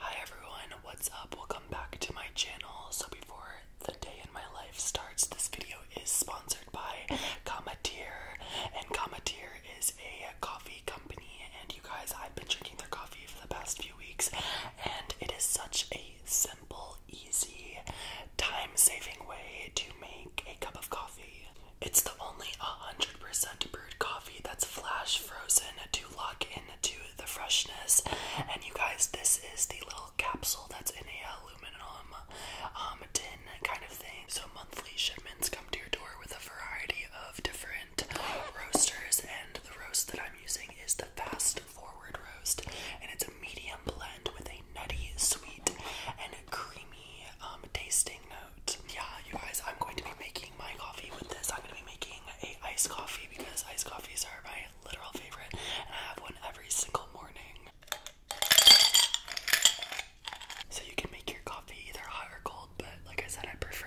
Hi everyone, what's up? Welcome back to my channel. So before the day in my life starts, this video is sponsored by Cometeer. And Cometeer is a coffee company and you guys, I've been drinking their coffee for the past few weeks and it is such a simple, easy, time-saving way to make a cup of coffee. It's the only 100% brewed coffee that's flash frozen to lock in into the freshness. And you guys, this is the little capsule that's in a aluminum um, tin kind of thing. So monthly shipments come to your door with a variety of different roasters, and the roast that I'm using is the Fast Forward roast, and it's a medium blend with a nutty, sweet, and creamy um, tasting note. Yeah, you guys, I'm going to be making my coffee with this. I'm going to be making I a iced coffee because iced coffees are my literal favorite, and I have one every single morning. So you can make your coffee either hot or cold, but like I said, I prefer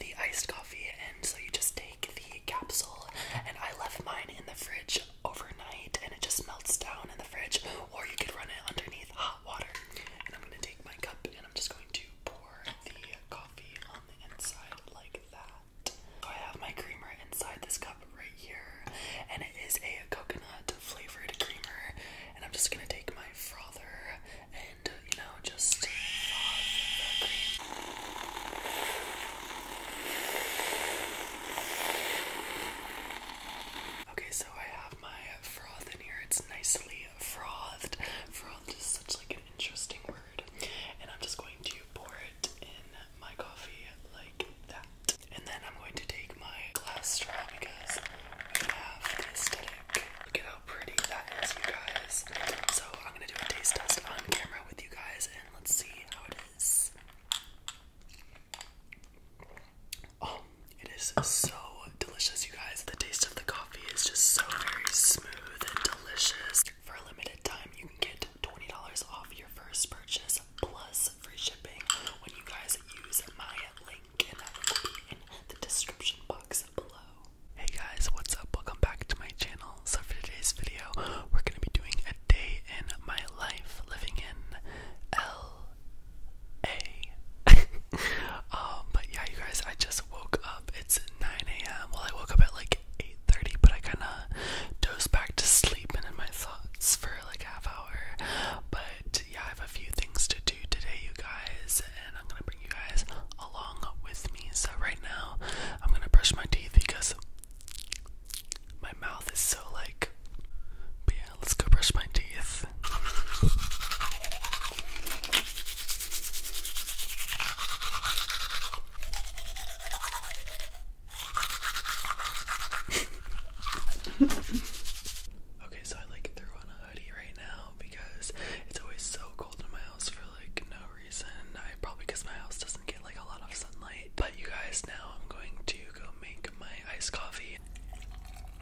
the iced coffee, and so you just take the capsule, and I left mine in the fridge overnight, and it just melts down in the fridge, or you could run it underneath hot water. And I'm gonna take my cup, and I'm just going to pour the coffee on the inside like that. So I have my creamer inside this cup right here, and it is a coconut flavored creamer. And I'm just gonna take my frother and you know just Okay, so I have my froth in here. It's nicely frothed. Frothed is such like an interesting word. And I'm just going to pour it in my coffee like that. And then I'm going to take my glass straw because we have the aesthetic. Look at how pretty that is, you guys. So I'm gonna do a taste test on camera with you guys and let's see how it is. Oh it is so delicious, you guys. The taste of the coffee is just so very smooth and delicious. For a limited time, you can get $20 off your first purchase plus free shipping when you guys use my link, in the description box below. Hey guys, what's up? Welcome back to my channel. So, for today's video, we're going to be doing a day in my life living in L. A. um, but yeah, you guys, I just woke up. It's 9 a.m. Well, I woke up at like 8:30, but I kind of dozed back to sleep and in my thoughts for like half hour. But yeah, I have a few things to do today, you guys, and I'm gonna bring you guys along with me. So right now, I'm gonna brush my teeth because my mouth is so like let's go brush my teeth. okay, so I like threw on a hoodie right now because it's always so cold in my house for like no reason. I probably because my house doesn't get like a lot of sunlight. But you guys, now I'm going to go make my iced coffee.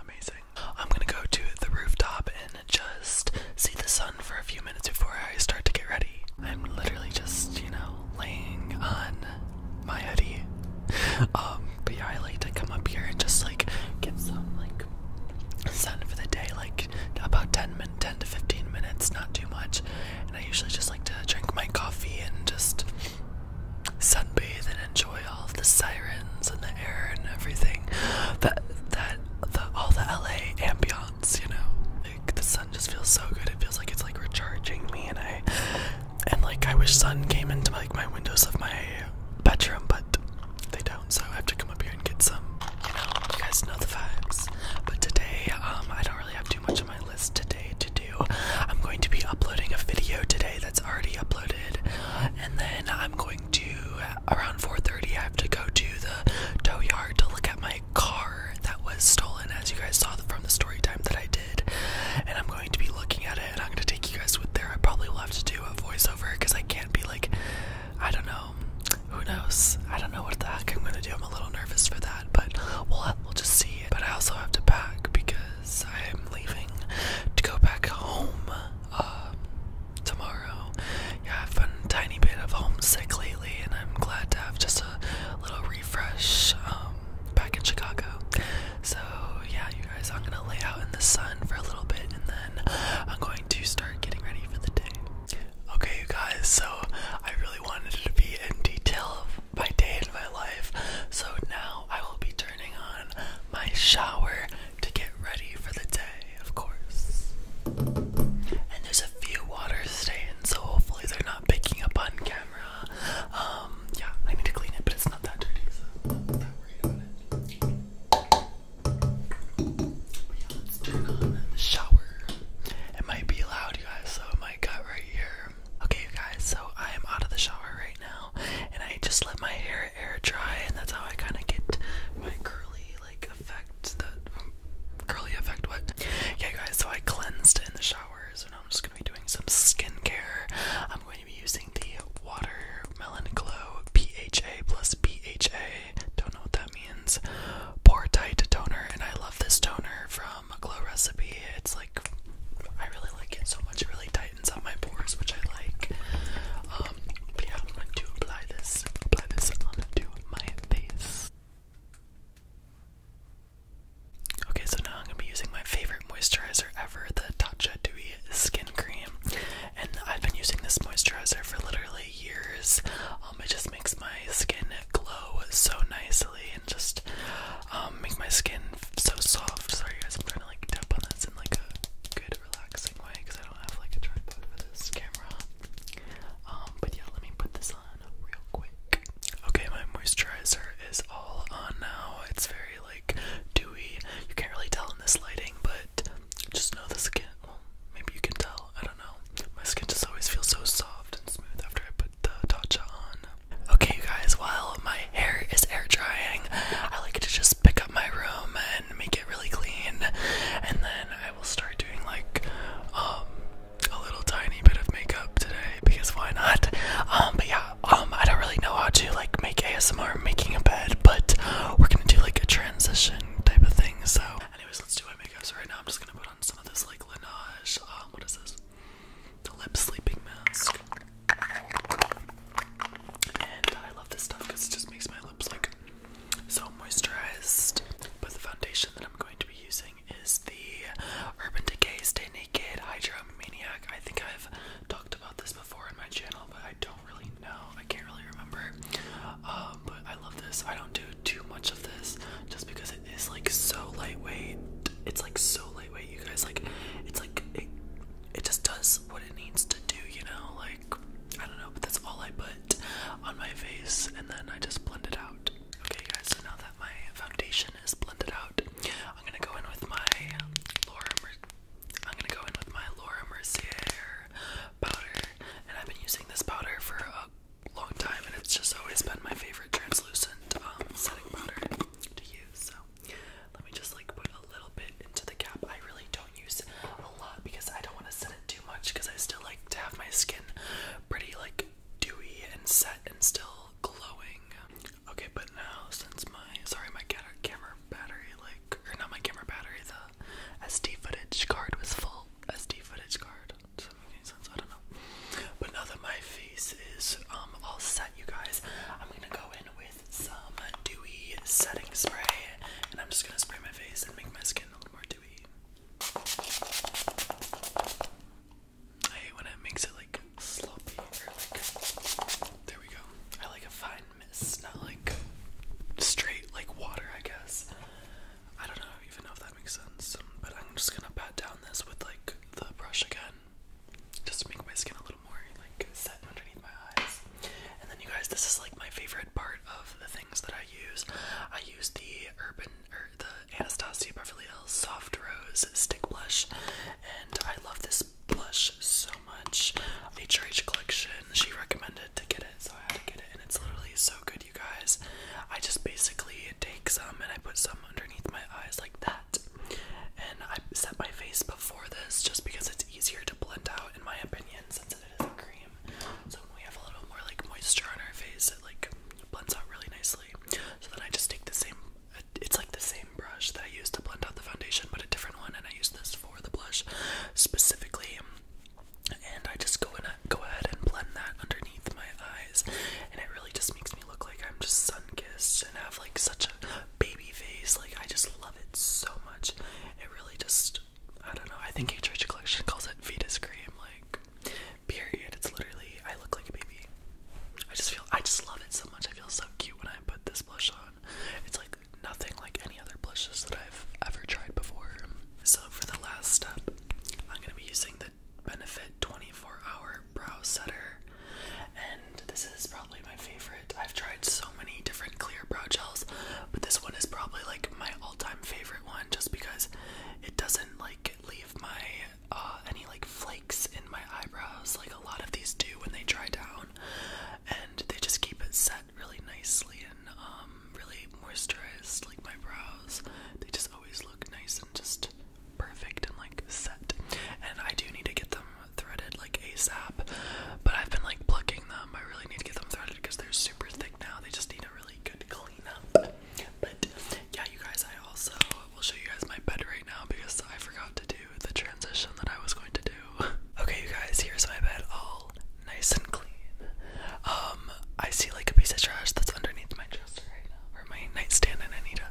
Amazing. I'm gonna go to the rooftop and just see the sun for a few minutes before I start to get ready. I'm literally just, you know, laying on my hoodie. Um, but I like to come up here and just like get some like sun for the day, like about 10, min 10 to 15 minutes, not too much. And I usually just like to drink my coffee and just sunbathe and enjoy all of the sirens and the air and everything. That, that, the, all the LA ambience, you know? Like the sun just feels so good. It feels like it's like recharging me and I, and like I wish sun came into like my windows of my bedroom, but they don't, so I have to come up here and get some. You know, you guys know the vibes. But today, um, I don't really have too much on my list today to do. I'm going to be uploading a video today that's already uploaded, and then I'm going to around 4:30. I have to go to the tow yard to look at my car that was stolen, as you guys saw from the story time that I did, and I'm to be looking at it I'm going to take you guys with there. I probably will have to do a voiceover because I can't be like, I don't know, who knows? I don't know what the heck I'm going to do. I'm a little nervous for that, but we'll, just see. But I also have to pack because I am leaving to go back home um, tomorrow. Yeah, I've been a tiny bit of homesick lately and I'm glad to have just a little refresh. Um, back in Chicago. So yeah, you guys, I'm gonna lay out in the sun for a little bit, and then I'm going to start getting ready for the day. Okay, you guys. So I really wanted to be in detail of my day and my life. So now I will be turning on my shower to get ready for the day, of course. And there's a few water stains, so hopefully they're not picking up on camera. Um, yeah, I need to clean it, but it's not that dirty, am shower. It might be loud, you guys, so it cut right here. Okay, you guys, so I am out of the shower right now, and I just let my hair air dry, and that's how I kind of get my curly, like, effect, the curly effect, what? Yeah, guys, so I cleansed in the shower, so I'm just gonna be doing some skincare. I'm going to be using the Watermelon Glow PHA plus PHA. Don't know what that means. Pore Tight Toner, and I love this toner from Glow Recipe. It's like, I really like it so much. It really tightens up my pores, which I like. Um, yeah, I'm going to apply this, apply this onto my face. Okay, so now I'm gonna be using my favorite moisturizer ever, the Tatcha Dewy Skin Cream, and I've been using this moisturizer for literally years. Um, it just makes my skin glow so nicely and just um, make my skin so soft. Sorry guys, I'm trying to like tap on this in like a good relaxing way because I don't have like a tripod for this camera. Um, but yeah, let me put this on real quick. Okay, my moisturizer is all on now. It's very like dewy. You can't really tell in this lighting, but just know the skin. Well, maybe you can tell. I don't know. My skin just always feels so soft and smooth after I put the Tatcha on. Okay, you guys, Well, my hair is air drying, I like to just pick up my room and make it really clean, and then I will start doing like um, a little tiny bit of makeup today because why not? Um, but yeah, um, I don't really know how to like make ASMR making a bed, but we're gonna do like a transition type of thing. So, anyways, let's do my makeup. So right now, I'm just gonna put on some of this like Laneige. Um, what is this? The lip sleeping mask. And I love this stuff because it just makes my lips like so moisturized. But the foundation that I'm going to be using is the Urban Decay Stay Naked Hydro Maniac. I think I've talked about this before on my channel, but I don't really know. I can't really remember. Um, but I love this. I don't do too much of this just because it is like so lightweight. It's like so lightweight, you guys. Like, it's like it, it just does what it needs to do, you know? Like, I don't know, but that's all I put on my face, and then I just blend it out. Okay, guys, so now that my foundation blended out. I'm gonna go in with my Laura. I'm gonna go in with my Laura Mercier powder, and I've been using this powder for a long time, and it's just always been my favorite translucent um, setting powder to use. So let me just like put a little bit into the cap. I really don't use a lot because I don't want to set it too much because I still like to have my skin pretty like dewy and set and still glowing. Okay, but now since my sorry my camera battery like or not my camera battery the SD footage card was full SD footage card. Does that make any sense? I don't know. But now that my face is um, all set, you guys, I'm gonna go in with some dewy setting spray, and I'm just gonna spray my face and make my skin a little more dewy. I hate when it makes it like sloppy or like. There we go. I like a fine mist, not like straight like water, I guess. I don't know even know if that makes sense, but I'm just gonna pat down this with like the brush again, just to make my skin a little more like set underneath my eyes. And then you guys, this is like my favorite part of the things that I use. I use the Urban or the Anastasia Beverly Hills Soft Rose Stick Blush, and I love this blush so much. HRH Collection, she recommended to get it, so I had to get it, and it's literally so good, you guys. I just basically take some and I put some underneath my eyes like that, and I set my face before this just because it's easier to blend out, in my opinion, since it is a cream. So we have a little more like moisture on our face, it like blends out really nicely. So then I just take the same, it's like the same brush that I used to blend out the foundation, but a different one, and I use this for the blush specifically. And I just go in, go ahead and blend that underneath my eyes, and it really just makes me look like I'm just sun kissed and have like such a baby face. Like I just love it so much. It really just, I don't know. I think H Collection calls it Vita cream. Like period. It's literally I look like a baby. I just feel I just love it so much. I feel so cute when I put this blush on. It's like nothing like any other blushes that I've ever tried before. So for the last step, I'm gonna be using the Benefit 24 Hour Brow Setter, and this is probably my favorite. I've tried so many different clear brow gels, but this one is probably like my all-time favorite one, just because it doesn't like leave my uh, any like flakes in my eyebrows like a lot of these do when they dry down, and they just keep it set really nicely and um, really moisturized. Like my brows, they just always look nice and just perfect and like set. And I do need to get them threaded like ASAP, but I've been like plucking them. I really need to get them threaded because they're super thick now. They just need a really good yeah, you guys, I also will show you guys my bed right now because I forgot to do the transition that I was going to do. Okay, you guys, here's my bed all nice and clean. Um, I see like a piece of trash that's underneath my dresser right now, or my nightstand, and I need uh,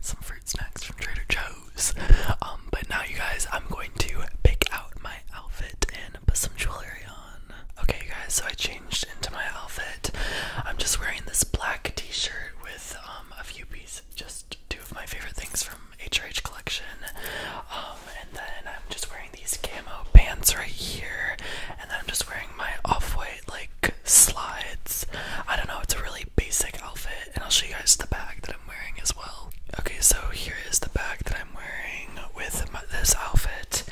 some fruit snacks from Trader Joe's. Um, but now, you guys, I'm going to pick out my outfit and put some jewelry on. Okay, guys, so I changed into my outfit. I'm just wearing this black t shirt with um, a few pieces, just two of my favorite things from HRH collection. Um, and then I'm just wearing these camo pants right here. And then I'm just wearing my off white, like, slides. I don't know, it's a really basic outfit, and I'll show you guys the bag that I'm wearing as well. Okay, so here is the bag that I'm wearing with this outfit.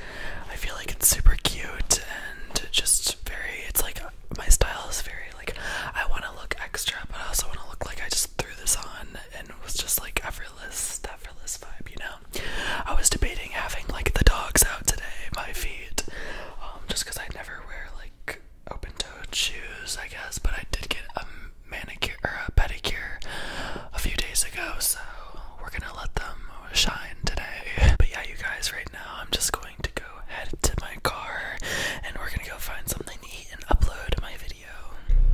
I feel like it's super cute and just very, it's like my style is very like I want to look extra, but I also want to look like I just threw this on and was just like effortless, effortless vibe, you know? I was debating having like the dogs out today, my feet, um, just because I never wear like open toed shoes, I guess, but I did get a manicure or a uh, pedicure a few days ago, so we're gonna let them shine today. But yeah, you guys, right now I'm just going to go head to my car and we're gonna go find something to eat and upload my video.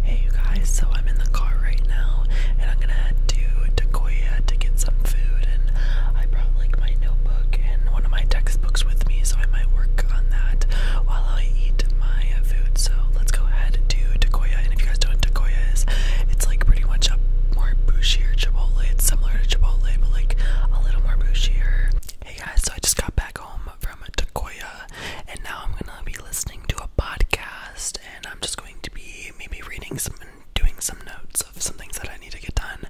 Hey, you guys, so I'm in the car right now and I'm gonna head to Takoya to get some food. And I brought like my notebook and one of my textbooks with me, so I might work on that while I eat my food. So let's go ahead to Takoya. And if you guys don't know what Takoya is, it's like pretty much a more bushier Chipotle. similar to Chipotle, but like a little more bushier. Hey guys, so I just got back home from Takoya, and now I'm gonna be listening to a podcast, and I'm just going to be maybe reading some and doing some notes of some things that I need to get done.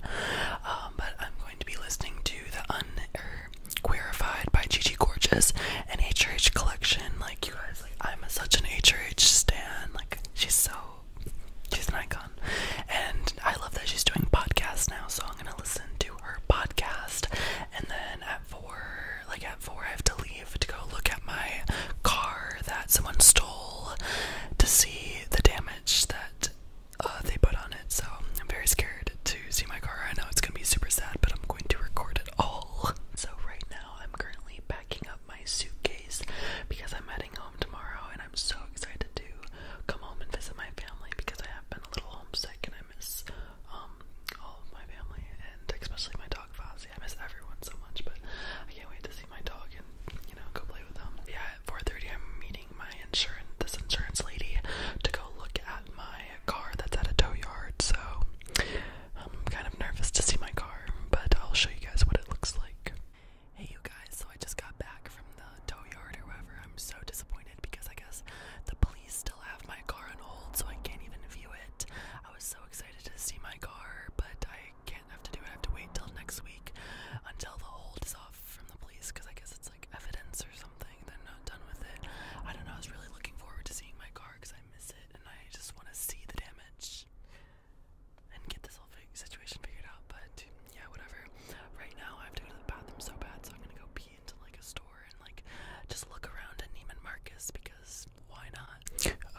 Um, but I'm going to be listening to the un. Queerified by Gigi Gorgeous and HRH collection. Like you guys, like I'm such an HRH stan. Like she's so, she's an icon, and I love that she's doing podcasts now. So I'm gonna listen to her podcast, and then at four, like at four, I have to leave to go look at my car that someone stole to see the damage that uh, they put on it. So I'm very scared to see my car. I know it's gonna be super sad, but I'm going to record it at So right now I'm currently packing up my suitcase because I'm heading home tomorrow and I'm so excited to come home and visit my family because I have been a little homesick and I miss um all of my family and especially my dog Fozzie. I miss everyone so much but I can't wait to see my dog and you know go play with them. Yeah at 4:30 I'm meeting my insurance this insurance lady to go look at my car that's at a tow yard, so I'm kind of nervous to see my car, but I'll show you guys what it looks like. Hey, you guys, so I just got back from the tow yard or wherever. I'm so disappointed because I guess the police still have my car on hold, so I can't even view it. I was so excited to see my car, but I can't have to do it. I have to wait till next week until the hold is off from the police because I guess it's like evidence or something something, they not done with it. I don't know, I was really looking forward to seeing my car because I miss it and I just want to see the damage and get this whole situation figured out. But yeah, whatever. Right now, I have to go to the bathroom so bad, so I'm gonna go pee into like a store and like just look around at Neiman Marcus because why not?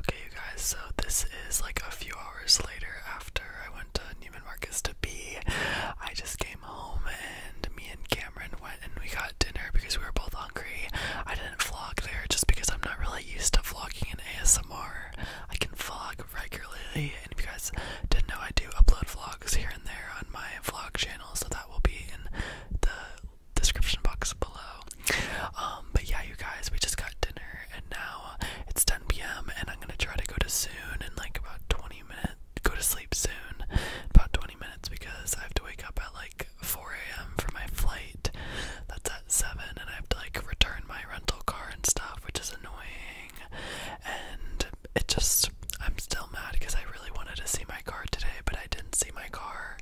Okay, you guys, so this is like a few hours later after I went to Neiman Marcus to pee. I just came home and me and Cameron went and we got dinner because we were both hungry. I didn't vlog there just because I'm not really used to vlogging in ASMR. I can vlog regularly, and if you guys didn't know, I do upload vlogs here and there on my vlog channel, so that will be in the description box below. Um, but yeah, you guys, we just got dinner, and now it's 10 p.m. and I'm gonna try to go to soon in like about 20 minutes go to sleep soon, about 20 minutes, because I have to wake up at like 4 a.m. for my flight. That's at 7, and I have to like return my rental car and stuff, which is annoying. And it just, I'm still mad because I really wanted to see my car today, but I didn't see my car.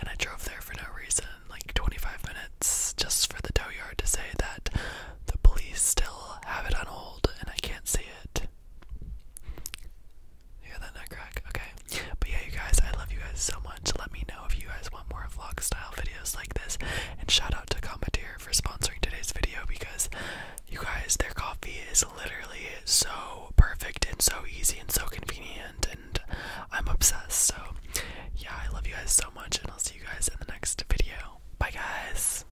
And I drove there for no reason, like 25 minutes, just for the tow yard to say that the police still have it on hold and I can't see it end. that nut crack? Okay. But yeah, you guys, I love you guys so much. Let me know if you guys want more vlog style videos like this. And shout out to Cometeer for sponsoring today's video because you guys, their coffee is literally so perfect and so easy and so convenient. And I'm obsessed. So yeah, I love you guys so much. And I'll see you guys in the next video. Bye, guys.